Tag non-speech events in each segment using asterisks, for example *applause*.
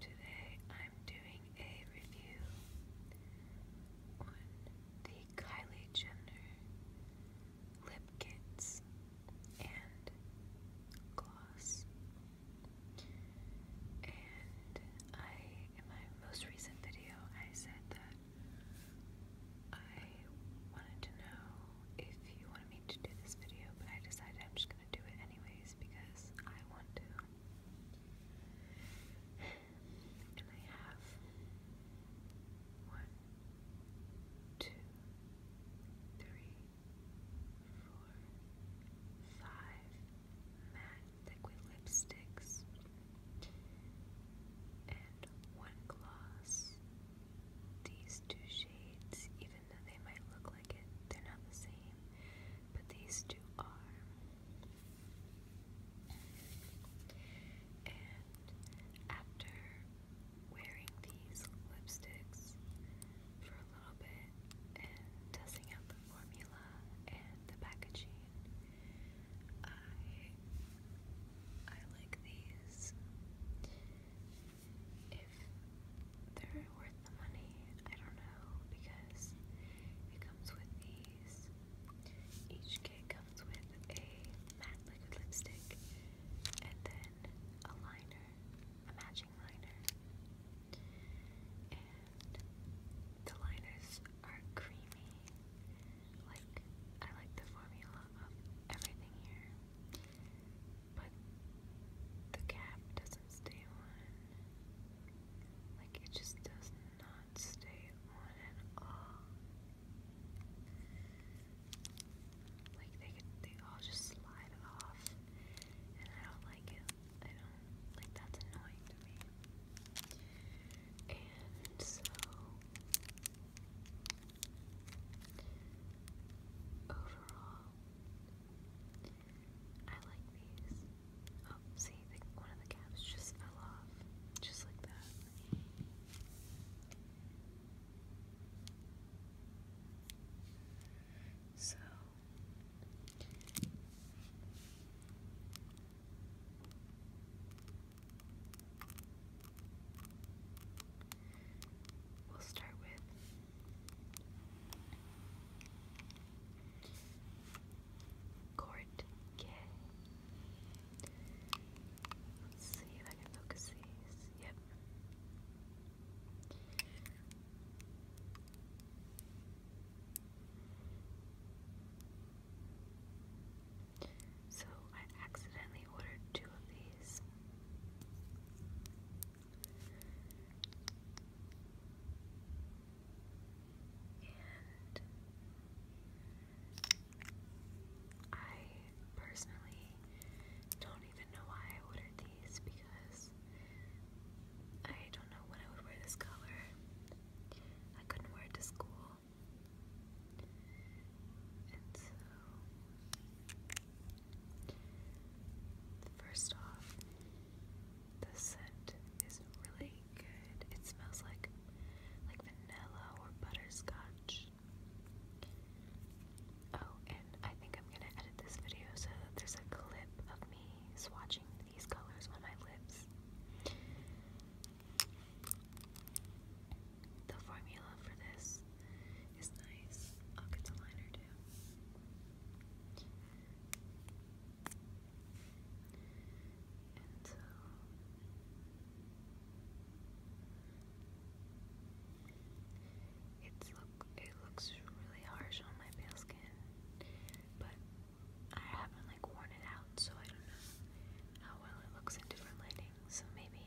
Today I'm doing a review on the Kylie Jenner lip kits and gloss. And in my most recent video, I said that I wanted to know if you wanted me to do this video, but I decided I'm just do it anyways because I want to. And I have one, two, three, four, five matte liquid lipsticks and one gloss. These two shades, even they might look like it, they're not the same. But these two are. after wearing these lipsticks for a little bit and testing out the formula and the packaging, I I like these if they're worth the money, I don't know, because it comes with these. Each kit comes with a matte liquid lipstick and then a liner, a matching liner. And the liners are creamy. Like, I like the formula of everything here. But the cap doesn't stay on. Like it just does not stay on at all. Like they they all just slide off, and I don't like it. I don't like that's annoying to me. And so overall, I like these. Oh, see, one of the caps just fell off. Just like that. So. We'll start with Court K. Let's see if I can focus these. Yep. So I accidentally ordered two of these. I personally don't even know why I ordered these because I don't know when I would wear this color. I couldn't wear it to school. And so First off, the scent is really good. It smells like like vanilla or butterscotch. Oh, and I think I'm gonna edit this video so that there's a clip of me swatching these colors on my lips. The formula for this is nice. I'll get the liner too. And look it looks really harsh on my pale skin, but I haven't like worn it out, so I don't know how well it looks in different lighting. So maybe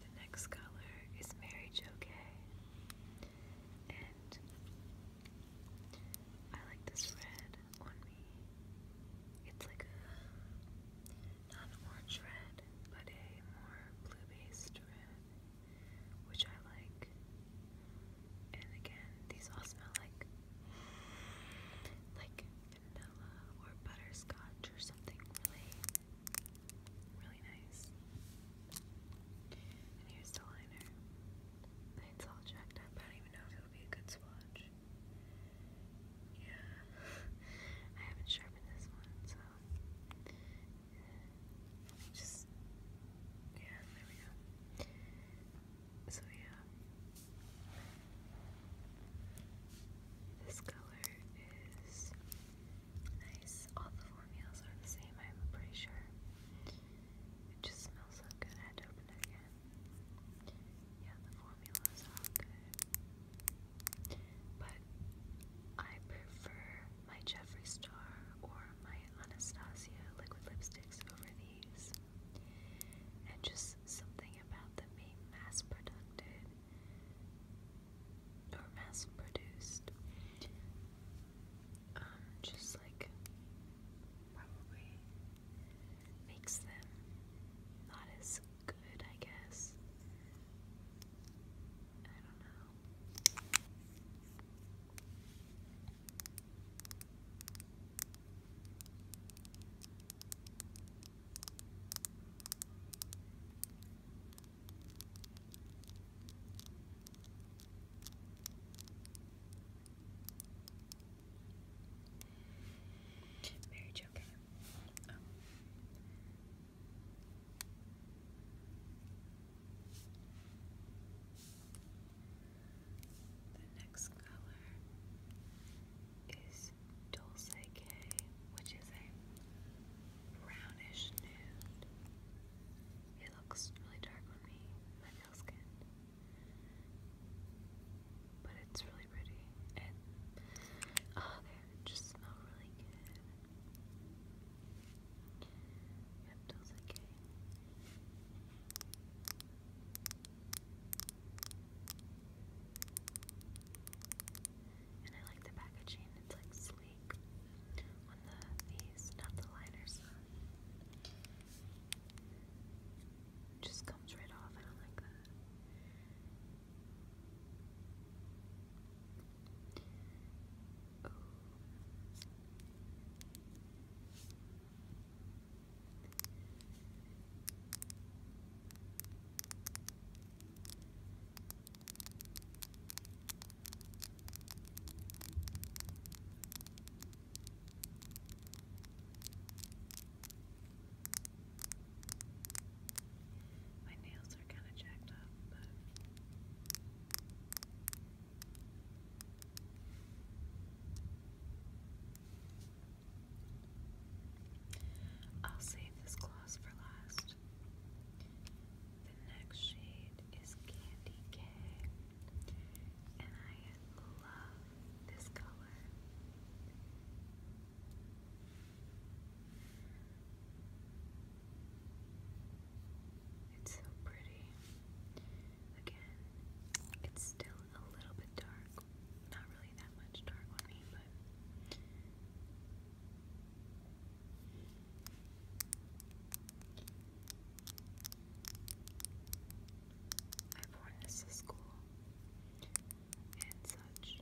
The next color is Mary Jo and I like this red on me. It's like a not orange red, but a more blue-based red which I like. And again, these all smell like like vanilla or butterscotch or something really, really nice. And here's the liner. It's all jacked up. I don't even know if it'll be a good swatch. Yeah, *laughs* I haven't sharpened this one, so just yeah, there we go. So yeah, this color is nice. All the formulas are the same, I'm pretty sure. It just smells so good. I had to open it again. Yeah, the formulas are all good. But I prefer my Jeffree Star or my Anastasia liquid lipsticks over these. And just something about them being mass produced or mass produced. Um, just like probably makes them not as good, I guess. I don't know. Mary Jo the next color is Dulce K, which is a brownish nude. It looks really dark on me, my pale skin. But it's really pretty. And oh, they just smell really good. Yep, that's And I like the packaging, it's like sleek on the these, not the liners. just comes right off, I don't like that. Ooh. My nails I'll save this gloss for last. The next shade is Candy K, and I love this color. It's so pretty. Again, it's still a little bit dark. Not really that much dark on me, but. I've this to school and such.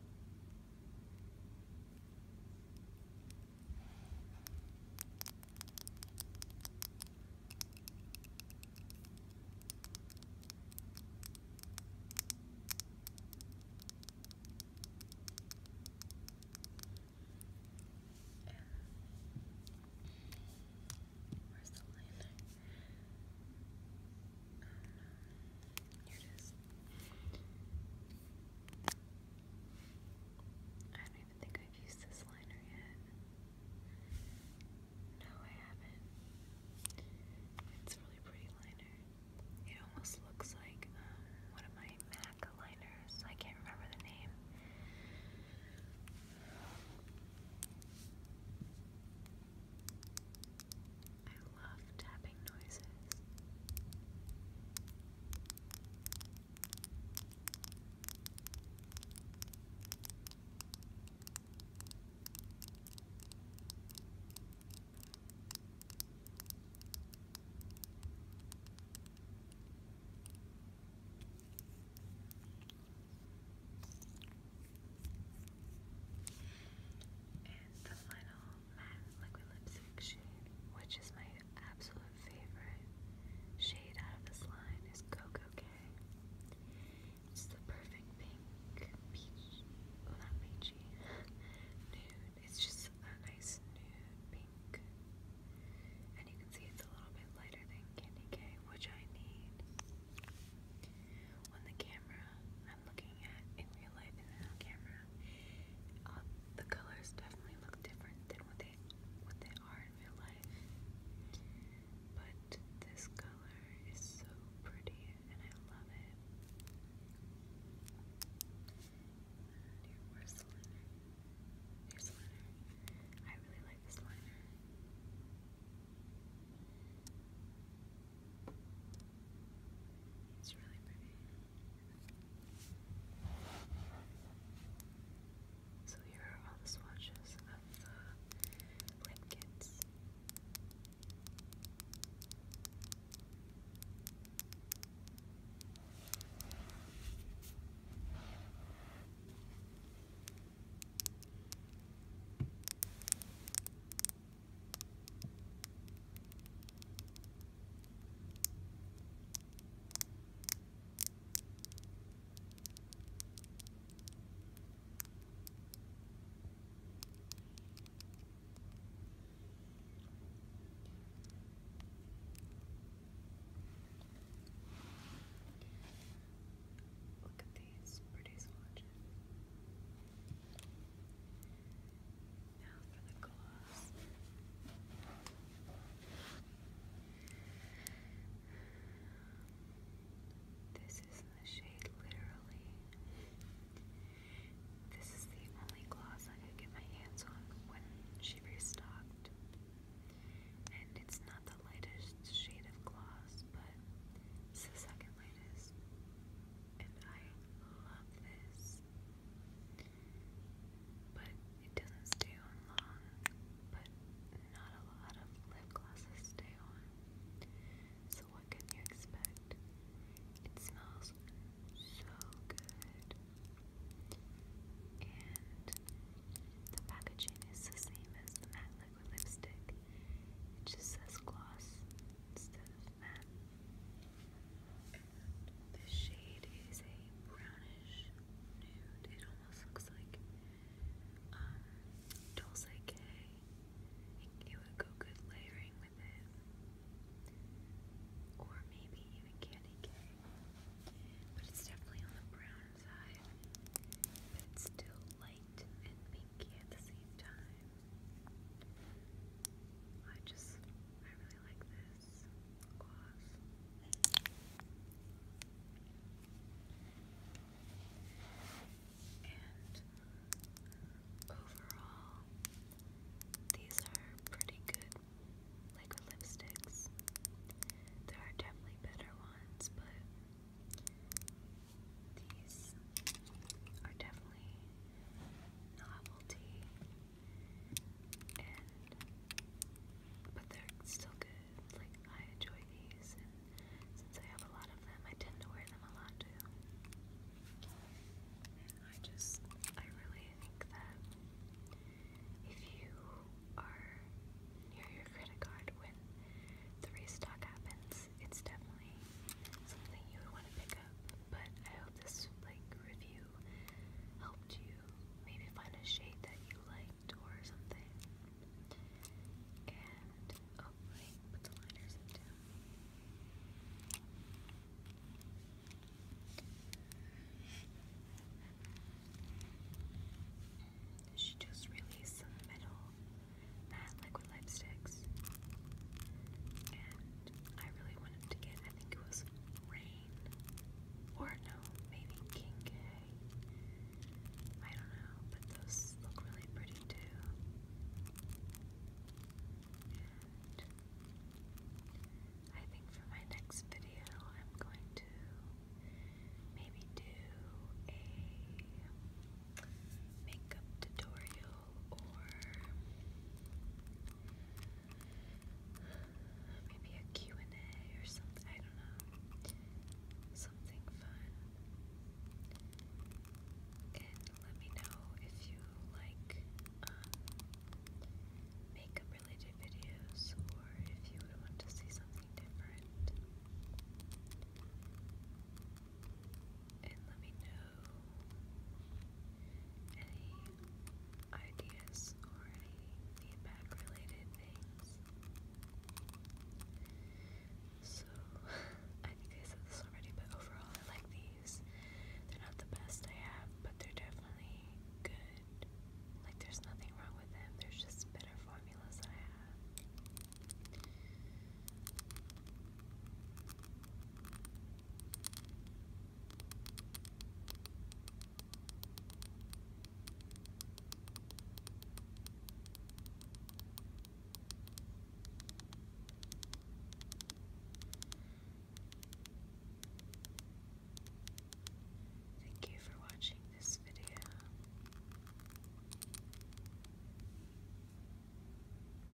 Where's the liner? Oh um, no. Here it is. I don't even think I've used this liner yet. No, I haven't. It's a really pretty liner. It almost looks like um, one of my MAC liners. I can't remember the name. I love tap tapping noises. And the final matte liquid lipstick shade, which is my absolute favorite shade out of this line, is Coco K. It's the perfect pink, peach, well not peachy, *laughs* nude. It's just a nice nude pink. And you can see it's a little bit lighter than Candy K, which I need. When the camera I'm looking at in real life and on camera um, the colors definitely look different than what they what they are in real life. But this color is so pretty and I love it. And where's Here's the I really like this liner. It's really pretty. So here are all the swatches of the lip kits. Look at these pretty swatches. Now for the gloves. This is the shade literally. This is the only gloss I could get my hands on when she restocked. And it's not the lightest shade of gloss, but it's the second lightest. And I love this. But it doesn't stay on long, but not a lot of lip glosses stay on. So what can you expect? It smells so good. And the packaging is the same as the matte liquid lipstick. It just says gloss instead of matte. The shade is a brownish nude. It almost looks like um, Dulce K. It would go good layering with it. Or maybe even Candy K. But it's definitely on the brown side. But it's still light and pinky at the same time. I just, I really like this gloss. And overall, these are pretty good liquid lipsticks. There are definitely better ones, but these are definitely novelty, but they're still good. Like I enjoy these, and since I have a lot of them, I tend to wear them a lot too. And I just, I really think that if you are near your credit card when the restock happens, it's definitely something you would want to pick up but I hope this like review helped you maybe find a shade that you liked or something. And oh wait, put the liners in too. She just released some metal matte liquid lipsticks, and I really wanted to get, I think it was Rain. Or no, maybe King K. I don't know, but those look really pretty too. I think for my next video, I'm going to maybe do a makeup tutorial or maybe a and a or something, I don't know, something fun. And let me know if you like makeup related videos or if you would want to see something different. And let me know any ideas or any feedback related things. So, *laughs* I think I said this already, but overall I like these. They're not the best I have, but they're definitely good. Like, there's nothing wrong with them, there's just better formulas that I have. Thank you for watching this video.